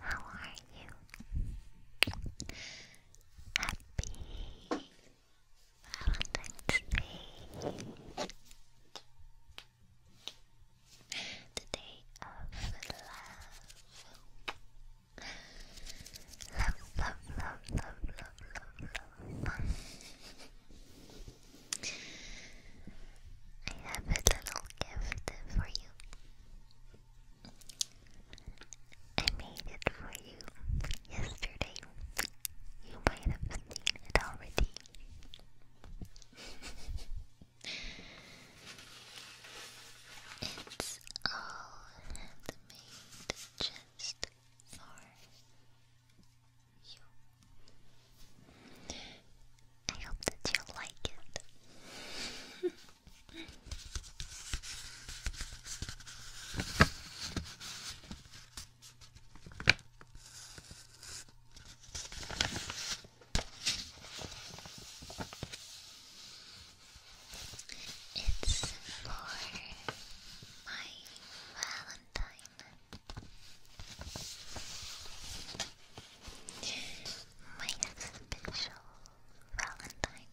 Hi. How are you? Happy Valentine's Day the day of love. Love, love, love, love, love, love, I have a little gift for you. I made it for you yesterday. You might have seen it already. It's all handmade just for you. I hope that you like it. It's for my Valentine. My special Valentine.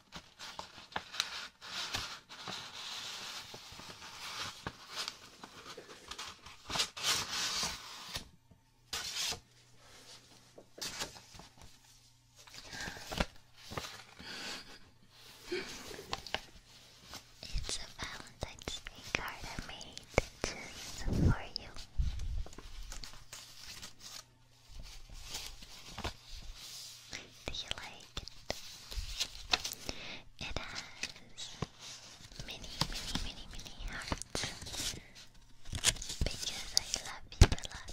It's a Valentine's Day card I made just for you. Do you like it? It has many, many, many, many hearts because I love you a lot.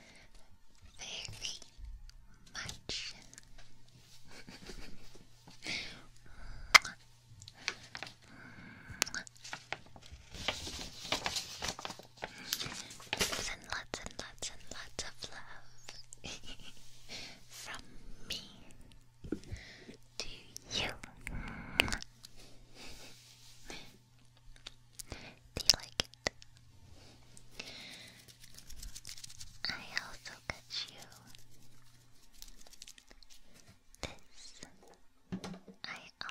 very much. and lots and lots and lots of love from me to you. Do you like it? I also got you this. I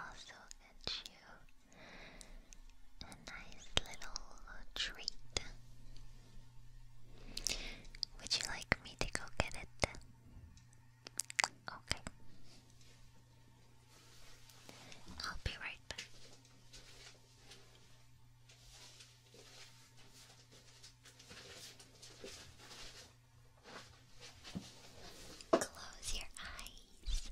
also got you a nice little treat. Would you like me to go get it? Okay. I'll be right back. Close your eyes.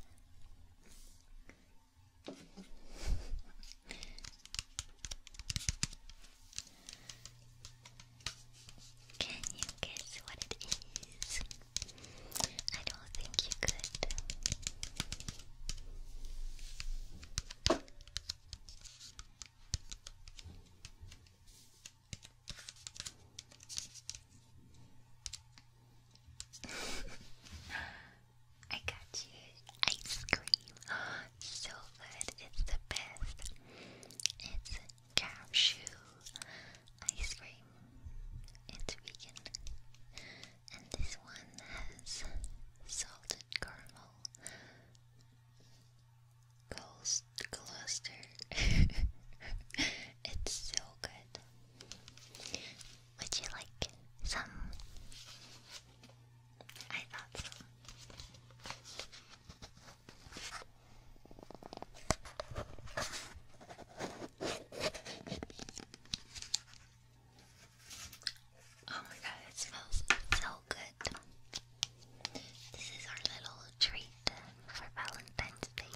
Can you guess what it is? I don't think you could. I got you ice cream. So good. It's the best. It's cashew ice cream. It's vegan and this one has salted caramel Ghost cluster. it's so good. Would you like some? I thought Oh my god, it smells so good. This is our little treat for Valentine's Day.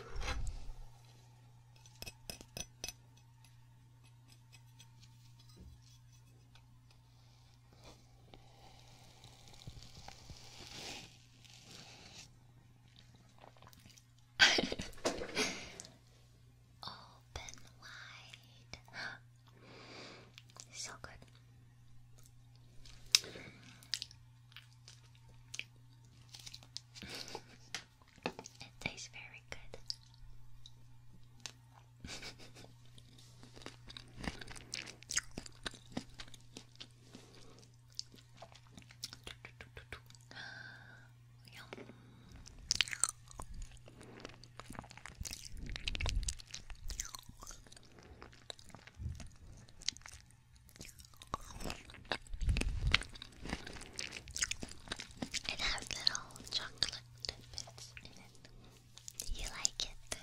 Open wide. so good. it tastes very good. It has little chocolate bits in it. You like it?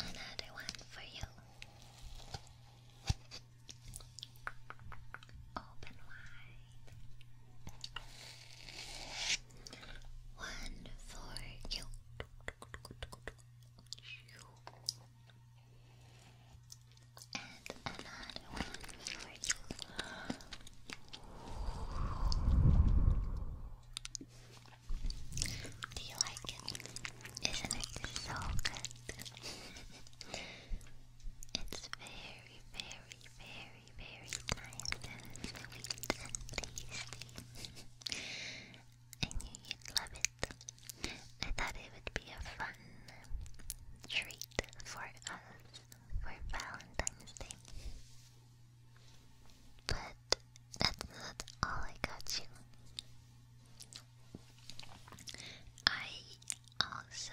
Another one for you. Open wide. One for you. And another one for you. Do you like it? Isn't it so good? it's very, very, very very nice sweet and tasty. I you'd love it. I thought it would be a fun treat for us for Valentine's Day. But that's not all I got you. I also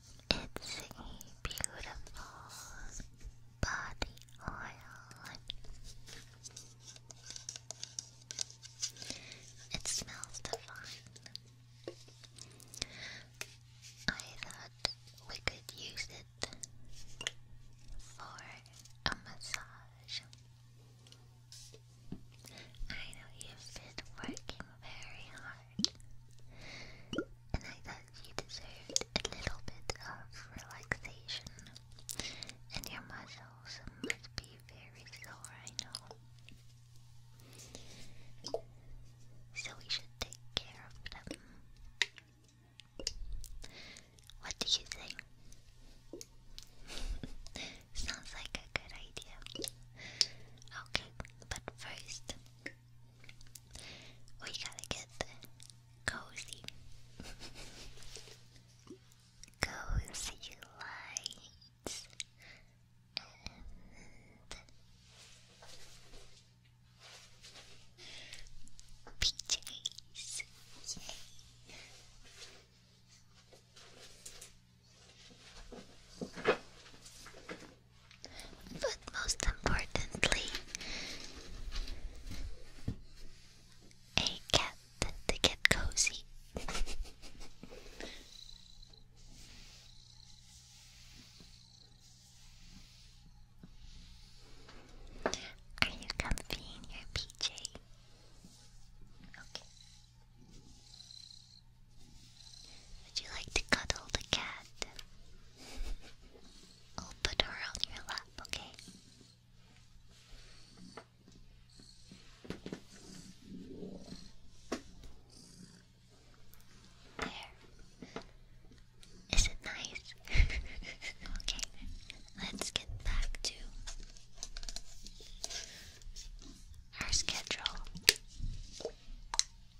It's a beautiful body oil. It smells divine. I thought we could use it for a massage. I know you've been working very hard and I thought you deserved a little bit of relaxation. And your muscles must be very sore, I know. So we should take care of them. What do you think? Sounds like a good idea. Okay, but first, we gotta get cozy. cozy lights and PJs. Yay. But most importantly, a cat to get cozy. Are you comfy in your PJ? Okay. Would you like to cuddle the cat? I'll put her on your lap, okay? There. Is it nice? okay, let's get back to our schedule.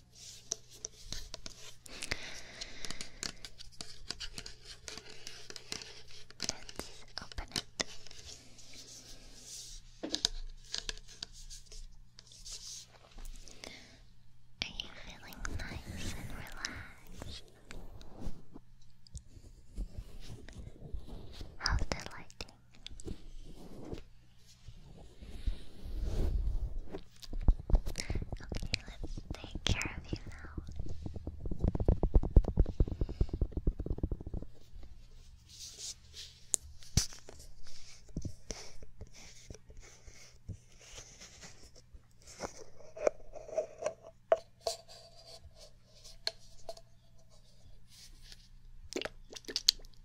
Let's open it. Are you feeling nice and relaxed? How's the Okay, let's take care of you now.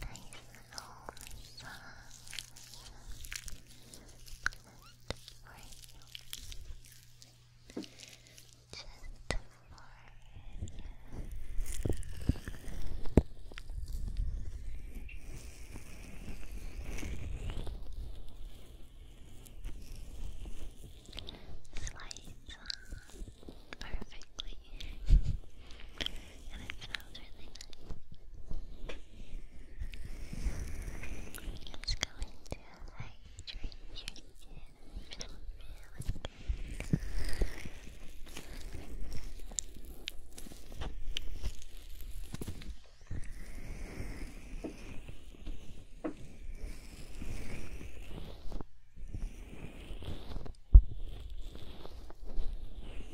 nice long songs just for you. Just perfectly and it smells really nice. Let's go into a hydration and feel Relax.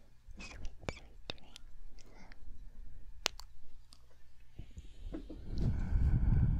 sweet, sweet dreams. Sweet dreams.